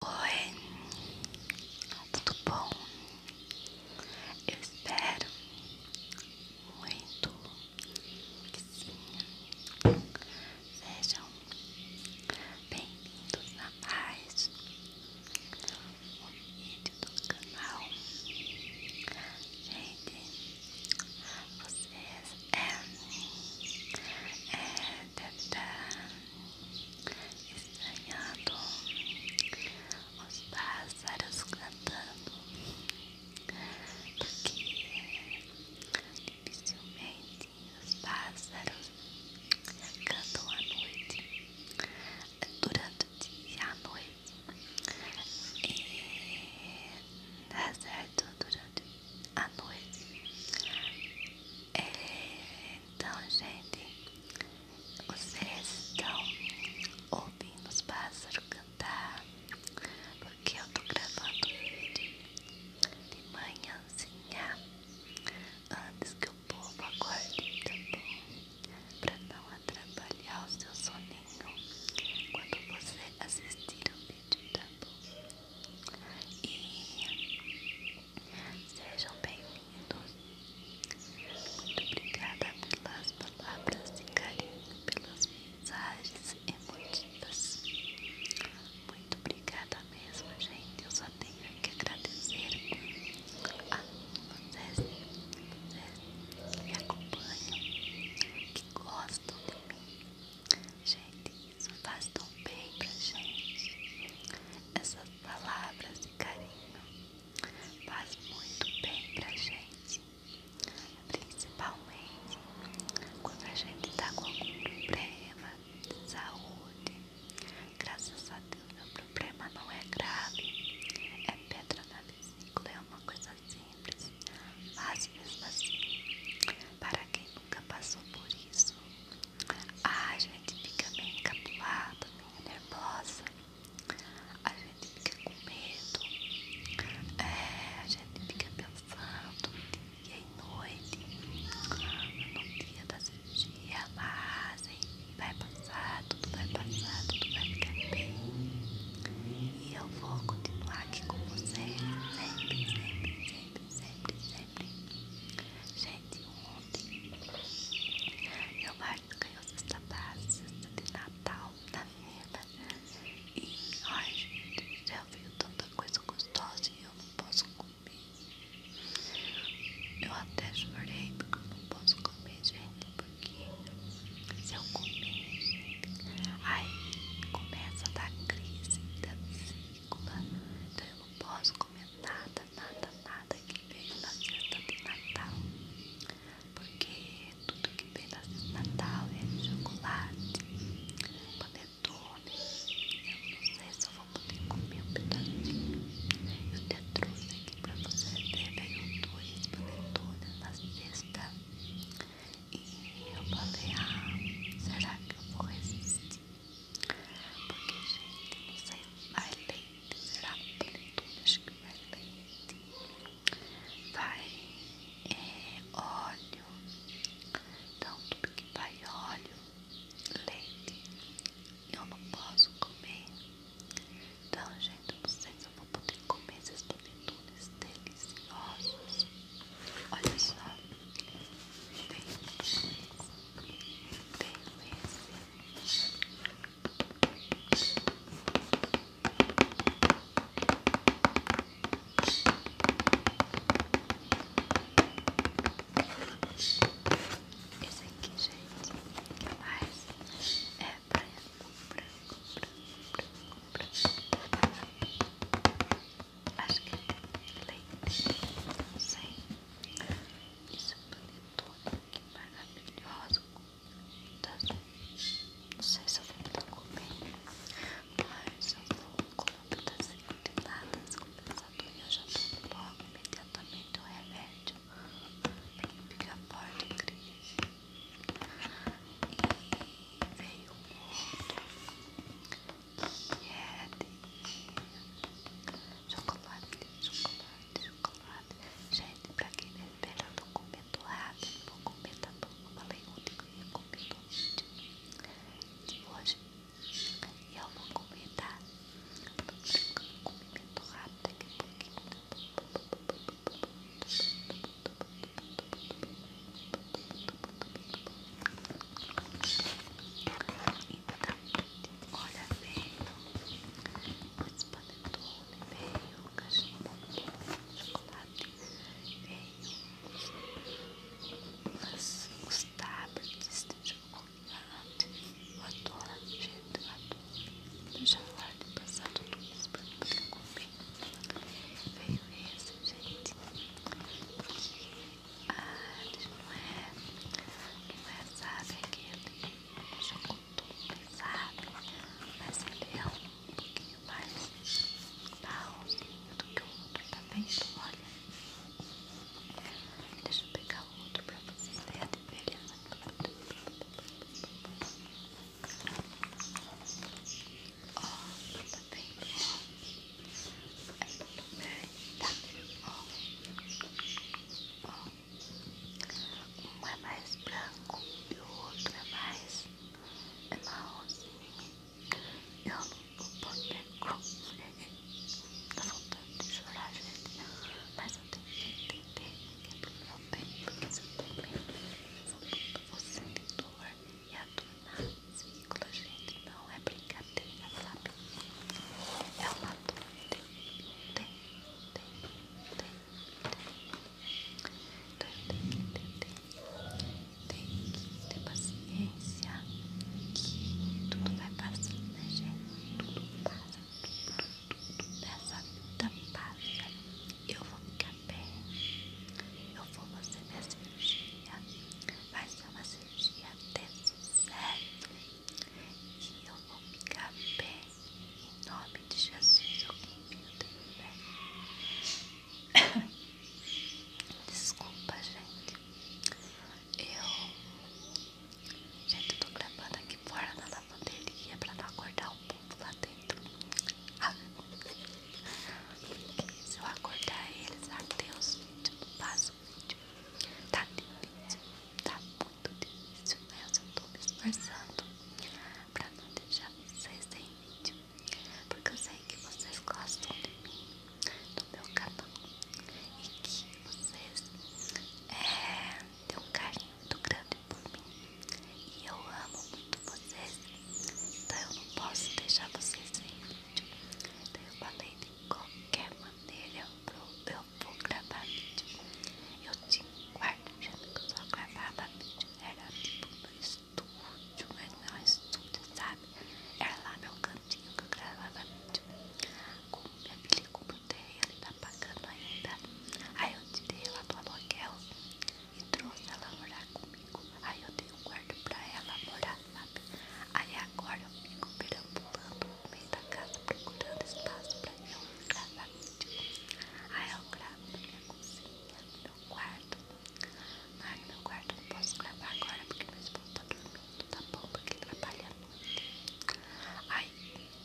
Oi, tudo bom? Eu espero muito que sim. Sejam bem-vindos a mais um vídeo do canal. Gente, vocês é, é, deve estranhando os pássaros cantando, porque dificilmente os pássaros cantam à noite, durante o dia e à noite, e dá tá certo durante o à noite. É, então, gente, vocês estão ouvindo os pássaros cantar, porque eu tô gravando vídeo de manhãzinha antes que o povo acorde, tá bom? Pra não atrapalhar o seu soninho quando você assistir o vídeo vídeo, bom? E sejam bem-vindos. Muito obrigada pelas palavras de pelas mensagens emotivas. Muito obrigada mesmo, gente. Eu só tenho que agradecer a vocês, vocês que me acompanham, que gostam de mim. Gente, isso faz tão bem pra gente. Essas palavras de carinho faz muito bem pra gente. Principalmente quando a gente tá com algum problema de saúde. Graças a Deus meu problema não é grave. É pedra na vesícula, é uma coisa simples. Mas mesmo assim, para quem nunca passou por isso, ah, a gente fica bem encapulada, bem nervosa, a gente fica com medo, é, a gente fica pensando dia e noite, no dia da cirurgia, mas enfim, vai passar, tudo vai passar, tudo vai ficar bem. E eu vou continuar aqui com você sempre, sempre, sempre sempre, sempre, sempre. Gente, ontem meu marido ganhou cesta básica, cesta de Natal na vida. E ai, gente, já veio tanta coisa gostosa e eu não posso comer. Eu até chorei porque eu não posso comer, gente, porque se eu comer. Aí começa a dar crise da vesícula. Então eu não posso comer nada, nada, nada que veio na cesta de Natal. Porque tudo que vem na cesta de Natal é chocolate, panetone. Eu não sei se eu vou poder comer um pedacinho. Eu até trouxe aqui pra você ver. Né? Veio dois panetones na cesta. E eu falei, ah, será que eu vou resistir? Porque, gente, não sei, se vai leite, será tudo, acho que vai leite, vai óleo, então tudo que vai óleo, leite, eu não posso comer. Então, gente, não sei vou poder comer essas porventuras deliciosas. Olha só, delícia, delícia. Esse aqui, gente, que mais é é branco, branco, branco, branco, branco. Acho que é leite, não sei. Isso panetone, que maravilhoso. Não sei se eu vou comer, mas eu vou colocar das encruteladas compensador e eu já tomo logo imediatamente o remédio. Tem que ficar forte, incrível. E veio um outro que é de chocolate, chocolate, chocolate. Gente, pra quem me espera, eu tô comendo água, vou comentar tá bom. Eu falei ontem que ia comer no vídeo de hoje. E eu vou comer, tá? Eu tô brincando com rápido daqui a então, olha bem, o panetone veio, cachimbo, chocolate, veio umas, uns tablets de chocolate, eu adoro, gente, eu adoro do jaguar passar tudo isso para me pegar com é. Veio esse, gente. Ah, não é. Não é, sabe, aquele chocotu pesado. Mas ele é um pouquinho mais barrozinho do que o outro, tá vendo? Olha. Deixa eu pegar o outro pra vocês verem a diferença. Um é mais branco e o outro é mais é marronzinho. Eu não vou poder comer. Tá faltando de chorar, gente. Mas mas eu tenho que entender que é pro meu bem, porque se eu também eu vou você me doar e adorar as vírgulas, gente, não é brincadeira, sabe? É uma dor, tem, tem, tem, tem, então eu tenho que entender, tenho que ter paciência que tudo vai passar, né, gente? Tudo passa, tudo tudo dessa vida passa. Eu vou ficar bem. Eu vou fazer minha cirurgia. Vai ser uma cirurgia de sucesso. E eu vou ficar bem. Em nome de Jesus, eu confio tudo bem. Desculpa, gente. Eu Gente, eu tô gravando aqui fora na lavanderia pra não acordar o povo lá dentro. Porque ah, se eu acordar eles, até os vídeos, não faço vídeo. Tá difícil, tá muito difícil, mas né? eu tô me esforçando pra não deixar vocês sem vídeo. Porque eu sei que vocês gostam de mim, do meu canal. E que vocês é, deu um carinho muito grande por mim e eu amo muito vocês, então eu não posso deixar vocês sem vídeo. Então eu falei de qualquer maneira eu, eu vou gravar vídeo. Eu tinha um quarto achando que eu só gravava vídeo, era tipo no estúdio, mas não é sabe? Era lá meu cantinho que eu gravava vídeo. Como minha filha comprou terreno e pagando ainda. Aí eu tirei ela do aluguel e trouxe ela morar comigo. Aí eu dei um quarto pra ela morar, sabe? Aí agora eu fico perambulando no meio da casa procurando espaço pra eu gravar vídeo. Aí eu gravo na minha cozinha, no meu quarto. Mas no meu quarto não posso gravar agora porque meu esposo tá dormindo mundo tá bom porque trabalha muito. Ai,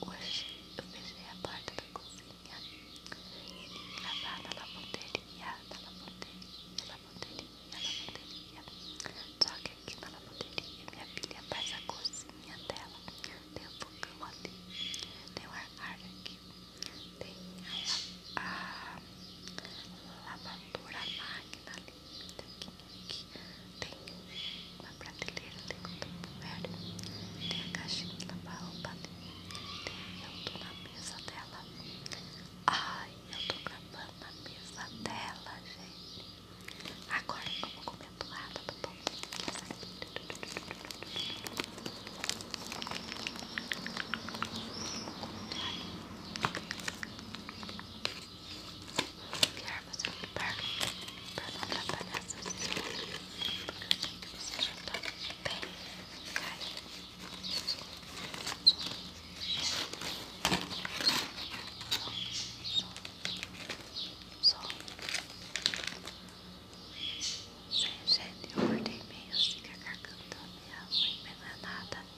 hoje eu fechei a porta da cozinha e vim gravar na lavanderia, na lavanderia, na lavanderia, na lavanderia. Só que aqui na lavanderia minha filha faz a cozinha dela. Tem um fogão ali, tem um armário aqui, tem a, a lavadora máquina ali tem uma prateleira, tem um tempo velho, tem a caixinha da lavar eu tô na mesa dela, ai eu tô gravando na mesa dela, gente. Agora vamos comer a bolada, tá bom? Essa aqui. Ai, criar você um parque para não atrapalhar seus estudos, porque eu sei que você já está bem caído. Só, sem jeito, eu acordei meio assim, que a garganta minha unha envenenada.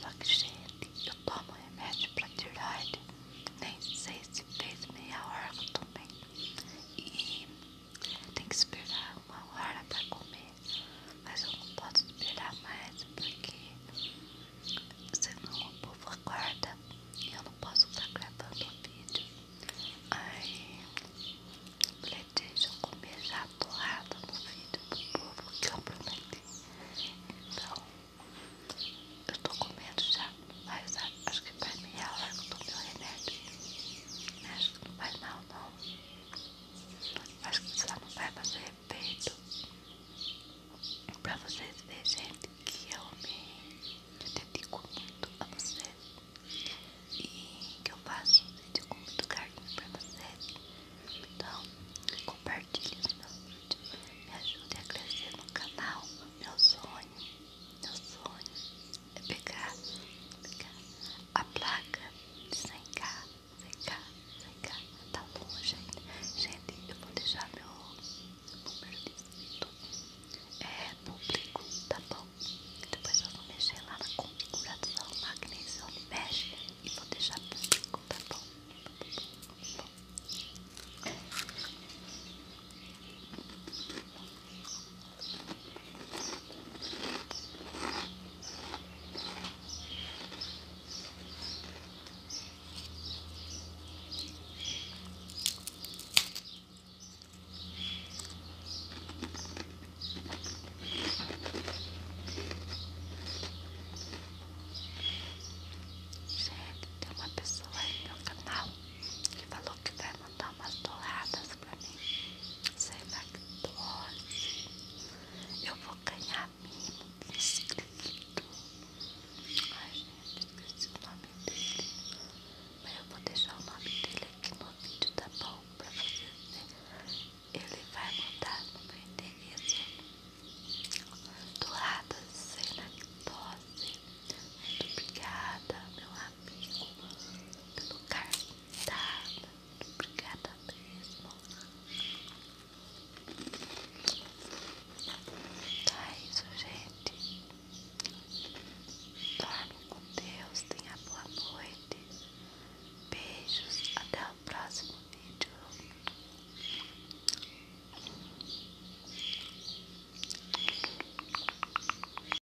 Só que, gente, eu tomo remédio para tiroide, nem sei se fez meia hora que E tem que esperar uma hora para comer, mas eu não posso esperar mais porque senão o povo acorda e eu não posso estar gravando o vídeo. Aí falei, deixa eu comer já a porrada no vídeo do povo que eu prometi. Então eu tô comendo já, mas acho que faz meia é hora que eu tomei o remédio. Acho que não faz mal não. Mas você não vai fazer efeito pra vocês verem, gente, que eu me eu dedico muito a vocês e que eu faço um vídeo com muito carinho pra vocês. Então, compartilhe os meus vídeos, me ajude a crescer no canal. Meu sonho, meu sonho é pegar, pegar a placa de 100k, 100k, 100k, tá bom gente, gente, eu vou deixar meu número de inscrito, é público, tá bom, depois eu vou mexer lá na configuração, magnésio, mexe e vou deixar público, tá tá bom. Sério, tem uma pessoa aí no canal que falou que vai mandar umas torradas pra mim, sem lactose. Eu vou ganhar mimo inscrito. Ai, gente, esqueci o nome dele. Mas eu vou deixar o nome dele aqui no vídeo, tá bom? Pra vocês verem. Ele vai mandar no meu endereço douradas sem lactose. Muito obrigada, meu amor amigo, pelo cargo dado. Obrigada mesmo. é isso, gente. Dorme com Deus, tenha boa noite. Beijos, até o próximo vídeo.